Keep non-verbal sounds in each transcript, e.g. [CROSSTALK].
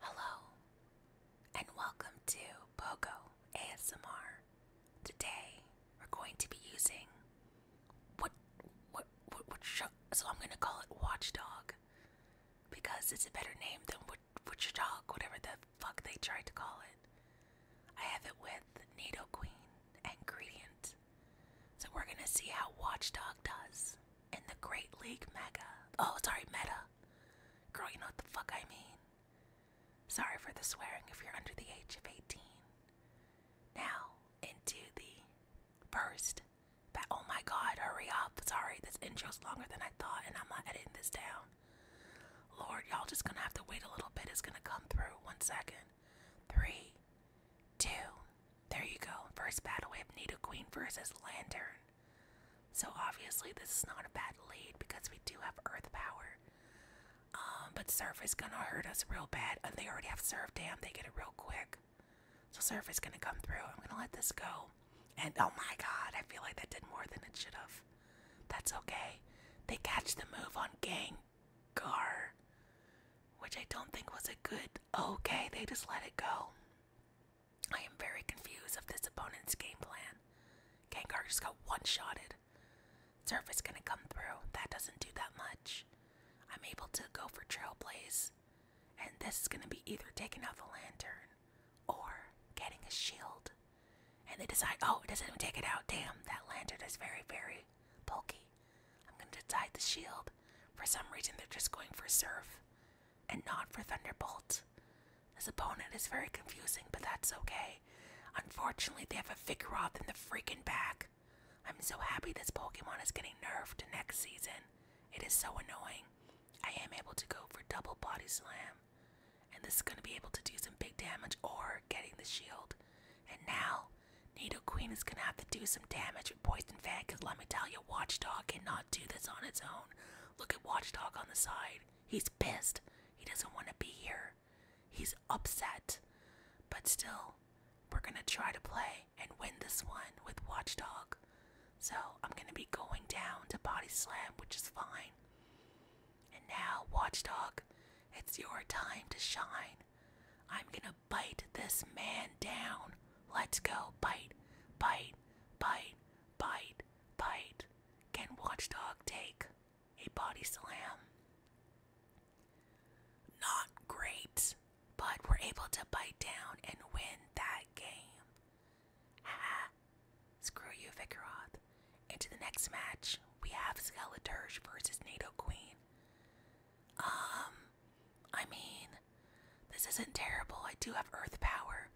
Hello, and welcome to Pogo ASMR. Today we're going to be using what what what, so I'm gonna call it Watchdog because it's a better name than Watchdog, whatever the fuck they tried to call it. I have it with Nido Queen and so we're gonna see how Watchdog does in the Great League Mega. Oh, sorry, Meta. Girl, you know what the fuck I mean. Sorry for the swearing if you're under the age of 18. Now, into the first. That, oh my god, hurry up. Sorry, this intro's longer than I thought, and I'm not editing this down. Lord, y'all just gonna have to wait a little bit. It's gonna come through. One second. Three, two, there you go. First battle, we Nita Queen versus Lantern. So obviously this is not a bad lead because we do have earth power. Um, but surf is gonna hurt us real bad. And they already have surf Dam. they get it real quick. So surf is gonna come through. I'm gonna let this go. And oh my god, I feel like that did more than it should have. That's okay. They catch the move on Gengar. Which I don't think was a good okay, they just let it go. I am very confused of this opponent's game plan. Gengar just got one-shotted. Surf is gonna come through. That doesn't do that much. I'm able to go for Trailblaze. And this is gonna be either taking out the lantern or getting a shield. And they decide, oh, it doesn't even take it out. Damn, that lantern is very, very bulky. I'm gonna decide the shield. For some reason, they're just going for Surf and not for Thunderbolt. This opponent is very confusing, but that's okay. Unfortunately, they have a Vigoroth in the freaking back. I'm so happy this Pokemon is getting nerfed next season. It is so annoying. I am able to go for double body slam. And this is going to be able to do some big damage or getting the shield. And now, Needle Queen is going to have to do some damage with Poison Fan because let me tell you, Watchdog cannot do this on its own. Look at Watchdog on the side. He's pissed. He doesn't want to be here. He's upset. But still, we're going to try to play and win this one with Watchdog. So I'm going to be going down to Body Slam, which is fine. And now, Watchdog, it's your time to shine. I'm going to bite this man down. Let's go. Bite, bite, bite, bite bite can Watchdog take? A body slam. Not great, but we're able to bite down and win that game. Ha! Screw you, Vickeroth. Into the next match, we have Skeleturge versus NATO Queen. Um, I mean, this isn't terrible. I do have earth power.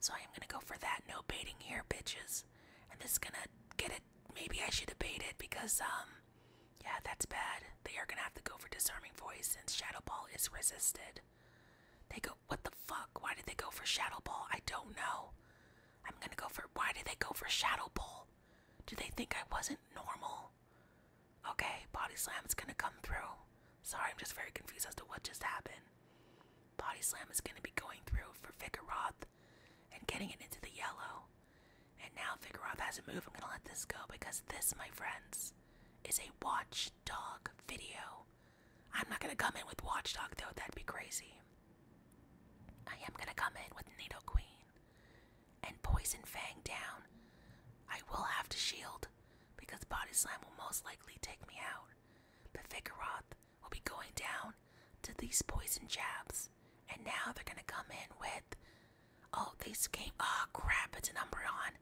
So I am gonna go for that. No baiting here, bitches. And this is gonna get it. Maybe I should have baited because, um, yeah, that's bad. They are gonna have to go for disarming voice since Shadow Ball is resisted. They go, what the fuck? Why did they go for Shadow Ball? I don't know. I'm gonna go for, why did they go for Shadow Ball? Do they think I wasn't normal? Okay, Body slam is gonna come through. Sorry, I'm just very confused as to what just happened. Body Slam is going to be going through for Vigoroth and getting it into the yellow. And now Vigoroth has a move. I'm going to let this go because this, my friends, is a watchdog video. I'm not going to come in with watchdog, though. That'd be crazy. I am going to come in with Needle Queen and Poison Fang down. I will have to shield because Body Slam will most likely take me out. The Vigoroth will be going down to these poison jabs. And now they're gonna come in with all oh, these came oh crap, it's an Umbreon.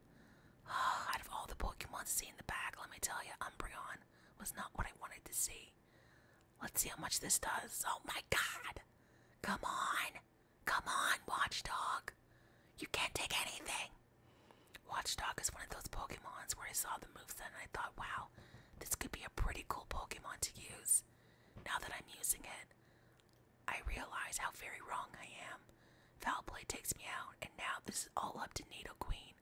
Oh, out of all the Pokemon to see in the back, let me tell you, Umbreon was not what I wanted to see. Let's see how much this does. Oh my god! Come on! Come on, watchdog! You can't take anything! Watchdog is one of those Pokemons where I saw the moveset and I thought, wow, this could be a pretty cool Pokemon to use. Now that I'm using it, I realize how very wrong I am. Foul play takes me out, and now this is all up to Needle Queen.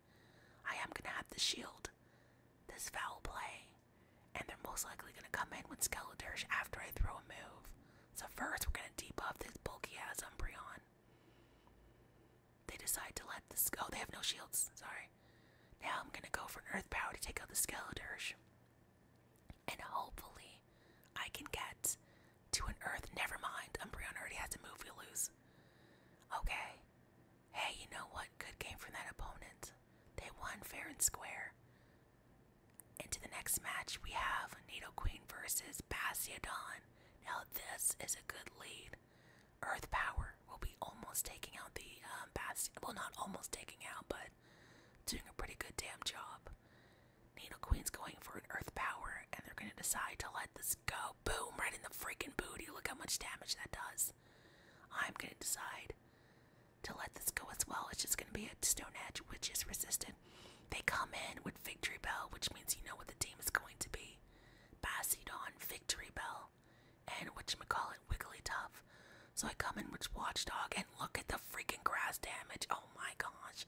I am gonna have the shield. This foul play. And they're most likely gonna come in with Skeledirge after I throw a move. So first we're gonna debuff this bulky ass Umbreon. They decide to let this go. Oh, they have no shields. Sorry. Now I'm gonna go for an earth power to take out the Skeledirge. And hopefully I can get to an earth. Never mind. Umbreon already has to move. We lose. Okay. Hey, you know what? Good game from that opponent. They won fair and square. Into the next match, we have Nidoqueen versus Bastiodon. Now this is a good lead. Earth Power will be almost taking out the um, Bast. Well, not almost taking out, but doing a pretty good damn job. Needle Queen's going for an Earth Power, and they're going to decide to let this go. Boom! Right in the freaking booty. Look how much damage that does. I'm going to decide to let this go as well. It's just going to be a Stone Edge, which is resistant. They come in with Victory Bell, which means you know what the team is going to be. Bassidon, Victory Bell, and call whatchamacallit, Wigglytuff. So I come in with Watchdog and look at the freaking grass damage. Oh my gosh.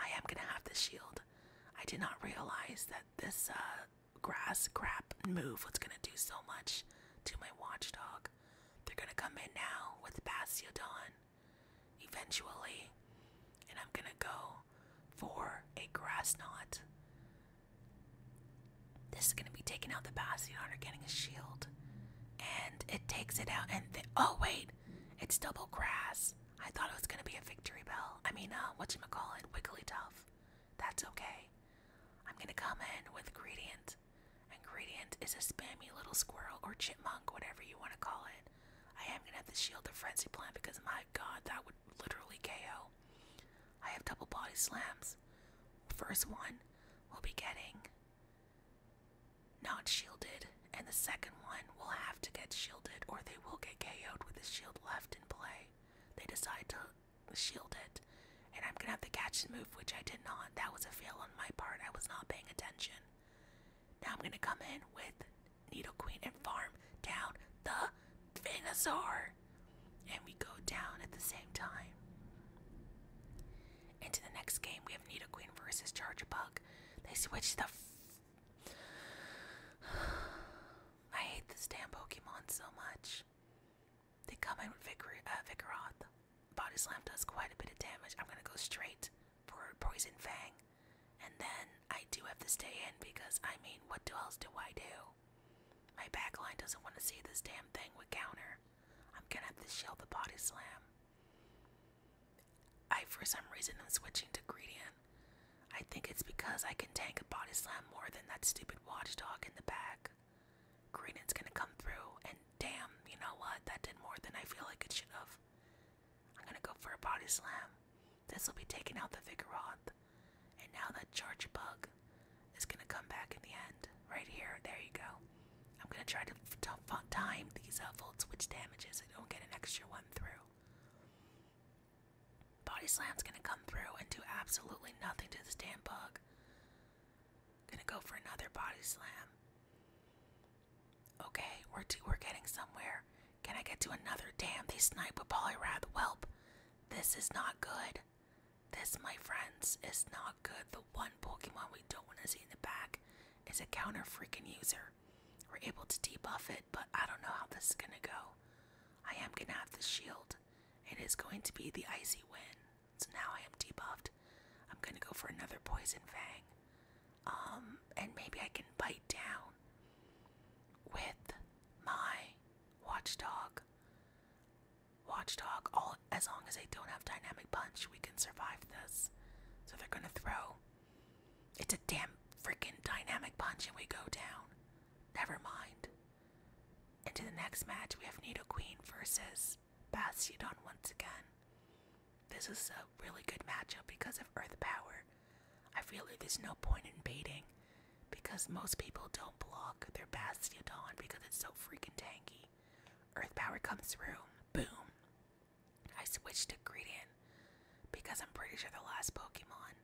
I am gonna have the shield. I did not realize that this uh, grass crap move was gonna do so much to my Watchdog. They're gonna come in now with Bastiodon eventually. And I'm gonna go for a grass knot. This is going to be taking out the Bastion or getting a shield. And it takes it out and oh wait, it's double grass. I thought it was going to be a victory bell. I mean, what you uh, whatchamacallit, Wigglytuff. That's okay. I'm going to come in with Gradient. And Gradient is a spammy little squirrel or chipmunk, whatever you want to call it. I am gonna have the shield of frenzy plan because my god, that would literally KO. I have double body slams. First one will be getting not shielded, and the second one will have to get shielded, or they will get KO'd with the shield left in play. They decide to shield it, and I'm gonna have to catch the move, which I did not. That was a fail on my part. I was not paying attention. Now I'm gonna come in with Needle Queen and farm down the dinosaur. And we go down at the same time. Into the next game, we have Needle Queen versus Charger Bug. They switch the. F [SIGHS] I hate this damn Pokemon so much. They come in with Vigor uh, Body Slam does quite a bit of damage. I'm gonna go straight for Poison Fang. And then I do have to stay in because I mean, what else do I do? My backline doesn't want to see this damn thing with counter. I'm gonna have to shield the body slam. I, for some reason, am switching to Gradient. I think it's because I can tank a body slam more than that stupid watchdog in the back. Gradient's gonna come through, and damn, you know what? That did more than I feel like it should have. I'm gonna go for a body slam. This will be taking out the Vigoroth. And now that charge bug is gonna come back in the end. Right here, there you go. I'm gonna try to time these uh, Volt Switch damages. I don't get an extra one through. Body Slam's gonna come through and do absolutely nothing to this damn bug. Gonna go for another Body Slam. Okay, we're, we're getting somewhere. Can I get to another? Damn, they snipe with polyrath. Welp, this is not good. This, my friends, is not good. The one Pokemon we don't want to see in the back is a counter freaking user. We're able to debuff it, but I don't know how this is gonna go. I am gonna have the shield. It is going to be the icy win. So now I am debuffed. I'm gonna go for another poison fang. Um, and maybe I can bite down with my watchdog. Watchdog, all as long as they don't have dynamic punch, we can survive this. So they're gonna throw. It's a damn freaking dynamic punch, and we go down. Never mind. Into the next match, we have Nido Queen versus Bastiodon once again. This is a really good matchup because of Earth Power. I feel like there's no point in baiting because most people don't block their Bastiodon because it's so freaking tanky. Earth Power comes through. Boom. I switched to Gradient because I'm pretty sure the last Pokemon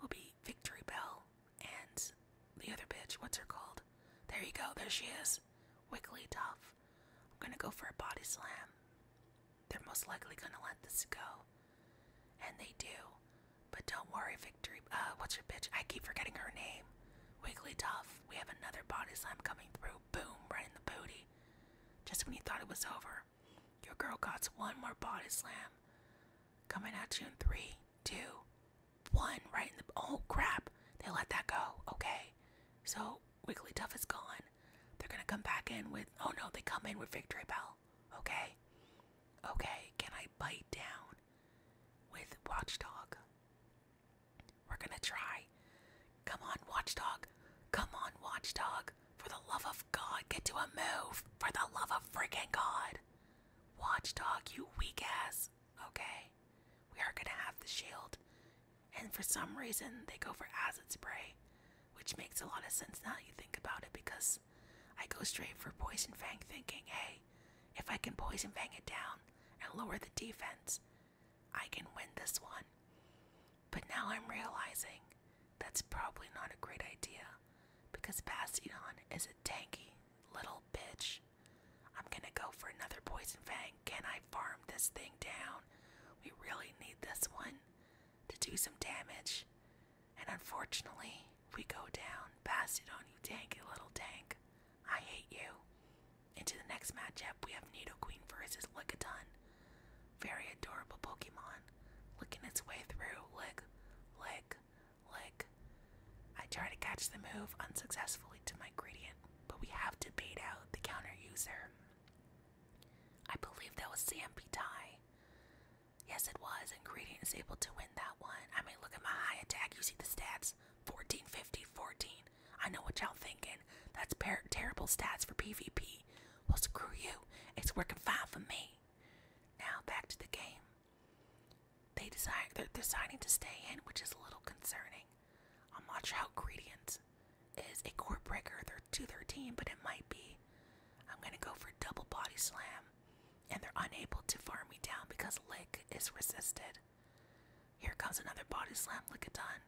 will be Victory Bell and the other bitch. What's her called? There you go. There she is. Wigglytuff. I'm gonna go for a body slam. They're most likely gonna let this go. And they do. But don't worry, Victory. Uh, what's your bitch? I keep forgetting her name. Wigglytuff. We have another body slam coming through. Boom, right in the booty. Just when you thought it was over, your girl got one more body slam. Coming at you in three, two, one, right in the. Oh, crap. They let that go. Okay. So Wigglytuff is gone. They're gonna come back in with. Oh no, they come in with Victory Bell. Okay? Okay, can I bite down with Watchdog? We're gonna try. Come on, Watchdog. Come on, Watchdog. For the love of God, get to a move. For the love of freaking God. Watchdog, you weak ass. Okay? We are gonna have the shield. And for some reason, they go for acid spray, which makes a lot of sense now you think about it because I go straight for Poison Fang thinking, hey, if I can Poison Fang it down and lower the defense, I can win this one. But now I'm realizing that's probably not a great idea because Bastiodon is a tanky little bitch. I'm gonna go for another Poison Fang. Can I farm this thing down? We really need this one to do some damage. And unfortunately, we go down. Pass it on you, tanky little tank. I hate you. Into the next matchup, we have Queen versus Lickitung. Very adorable Pokemon. Licking its way through. Lick, lick, lick. I try to catch the move unsuccessfully to my gradient, but we have to bait out the counter user. I believe that was Zampi Yes, it was, and Greedy is able to win that one. I mean, look at my high attack. You see the stats 14, 50, 14. I know what y'all thinking. That's terrible stats for PvP. Well, screw you. It's working fine for me. Now, back to the game. They decide, they're deciding to stay in, which is a little concerning. I'm um, not how Gradient is a core breaker to their team, but it might be I'm gonna go for double body slam, and they're unable to farm me down because Lick is resisted. Here comes another body slam, lick Lickitung.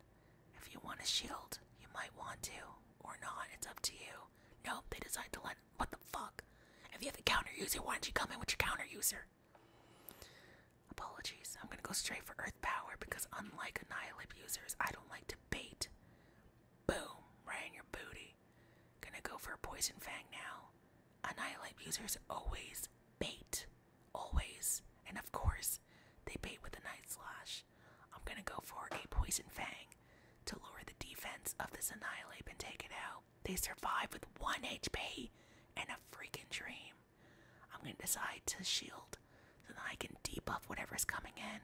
If you want a shield, you might want to, or not, it's up to you. Nope, they decide to let. What the fuck? If you have a counter user, why don't you come in with your counter user? Apologies, I'm gonna go straight for Earth Power because, unlike Annihilate users, I don't like to bait. Boom, right in your booty. Gonna go for a Poison Fang now. Annihilate users always bait. Always. And of course, they bait with a Night Slash. I'm gonna go for a Poison Fang to lower the defense of this Annihilate and take it out. They survive with 1 HP and a freaking dream. I'm gonna decide to shield so that I can debuff whatever's coming in.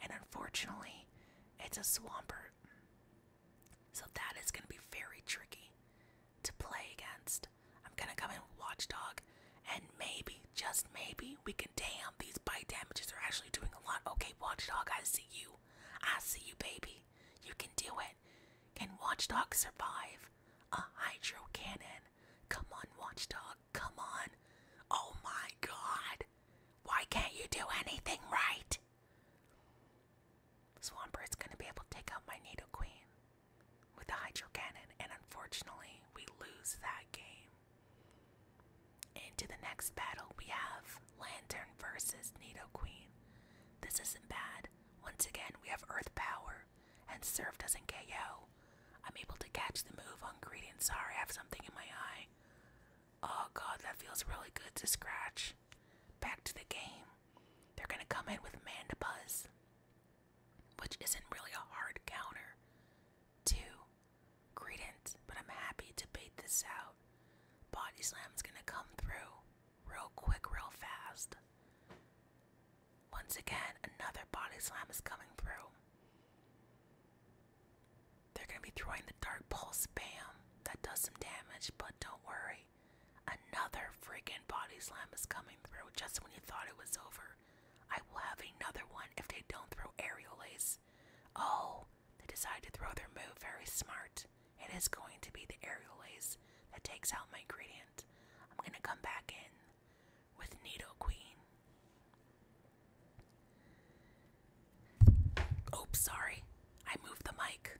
And unfortunately, it's a swamper, So that is going to be very tricky to play against. I'm going to come in Watchdog, and maybe, just maybe, we can damn these bite damages are actually doing a lot. Okay, Watchdog, I see you. I see you, baby. You can do it. Can Watchdog survive? A Hydro Cannon. Come on, Watchdog. Come on. Oh my god. Why can't you do anything right? Swampert's gonna be able to take out my Nido with the Hydro Cannon, and unfortunately, we lose that game. Into the next battle, we have Lantern versus Nido This isn't bad. Once again, we have Earth Power, and Surf doesn't KO. I'm able to catch the move on sorry I have something in my eye. Oh god, that feels really good to scratch. Back to the game. They're gonna come in with Mandibuzz, which isn't really a hard counter. Two, Credence, but I'm happy to bait this out. Body slam is gonna come through real quick, real fast. Once again, another Body Slam is coming through. They're gonna be throwing the dark pulse spam that does some damage, but don't worry. Another freaking body slam is coming through just when you thought it was over. I will have another one if they don't throw aerial ace. Oh, they decide to throw their move. Very smart. It is going to be the aerial ace that takes out my gradient. I'm gonna come back in with Needle Queen. Oops, sorry. I moved the mic.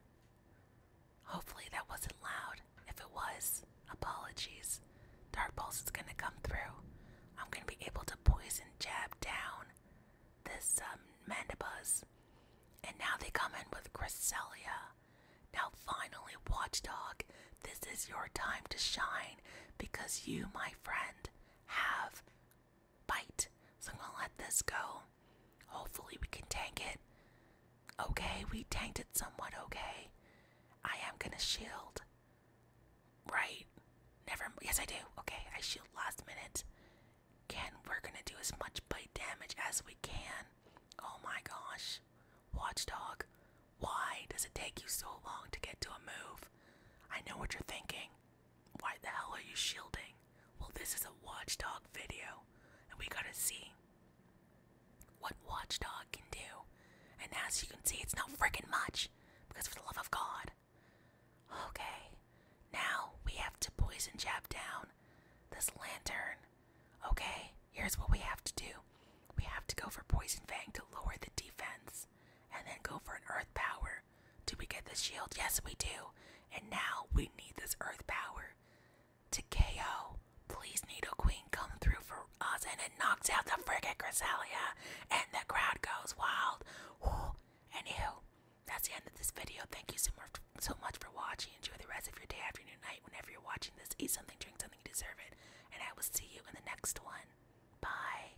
Hopefully that wasn't loud. If it was, apologies. Dark Pulse is gonna come through. I'm gonna be able to poison jab down this um, Mandibuzz. And now they come in with Cresselia. Now finally, Watchdog, this is your time to shine because you, my friend, have Bite. So I'm gonna let this go. Hopefully, we can tank it. Okay, we tanked it somewhat okay. I am gonna shield. Right? Never. Yes, I do. Okay, I shield last minute. Can we're gonna do as much bite damage as we can. Oh my gosh. Watchdog, why does it take you so long to get to a move? I know what you're thinking. Why the hell are you shielding? Well, this is a watchdog video, and we gotta see what watchdog can do. And as you can see, it's not fricking much, because for the love of God. Okay, now we have to poison jab down this lantern. Okay, here's what we have to do we have to go for poison fang to lower the defense, and then go for an earth power power. Do we get the shield? Yes, we do. And now we need this earth power to KO. Please, Needle Queen, come through for us. And it knocks out the frigate Cresselia. And the crowd goes wild. Ooh. Anywho, that's the end of this video. Thank you so much for watching. Enjoy the rest of your day, afternoon, night. Whenever you're watching this, eat something, drink something, you deserve it. And I will see you in the next one. Bye.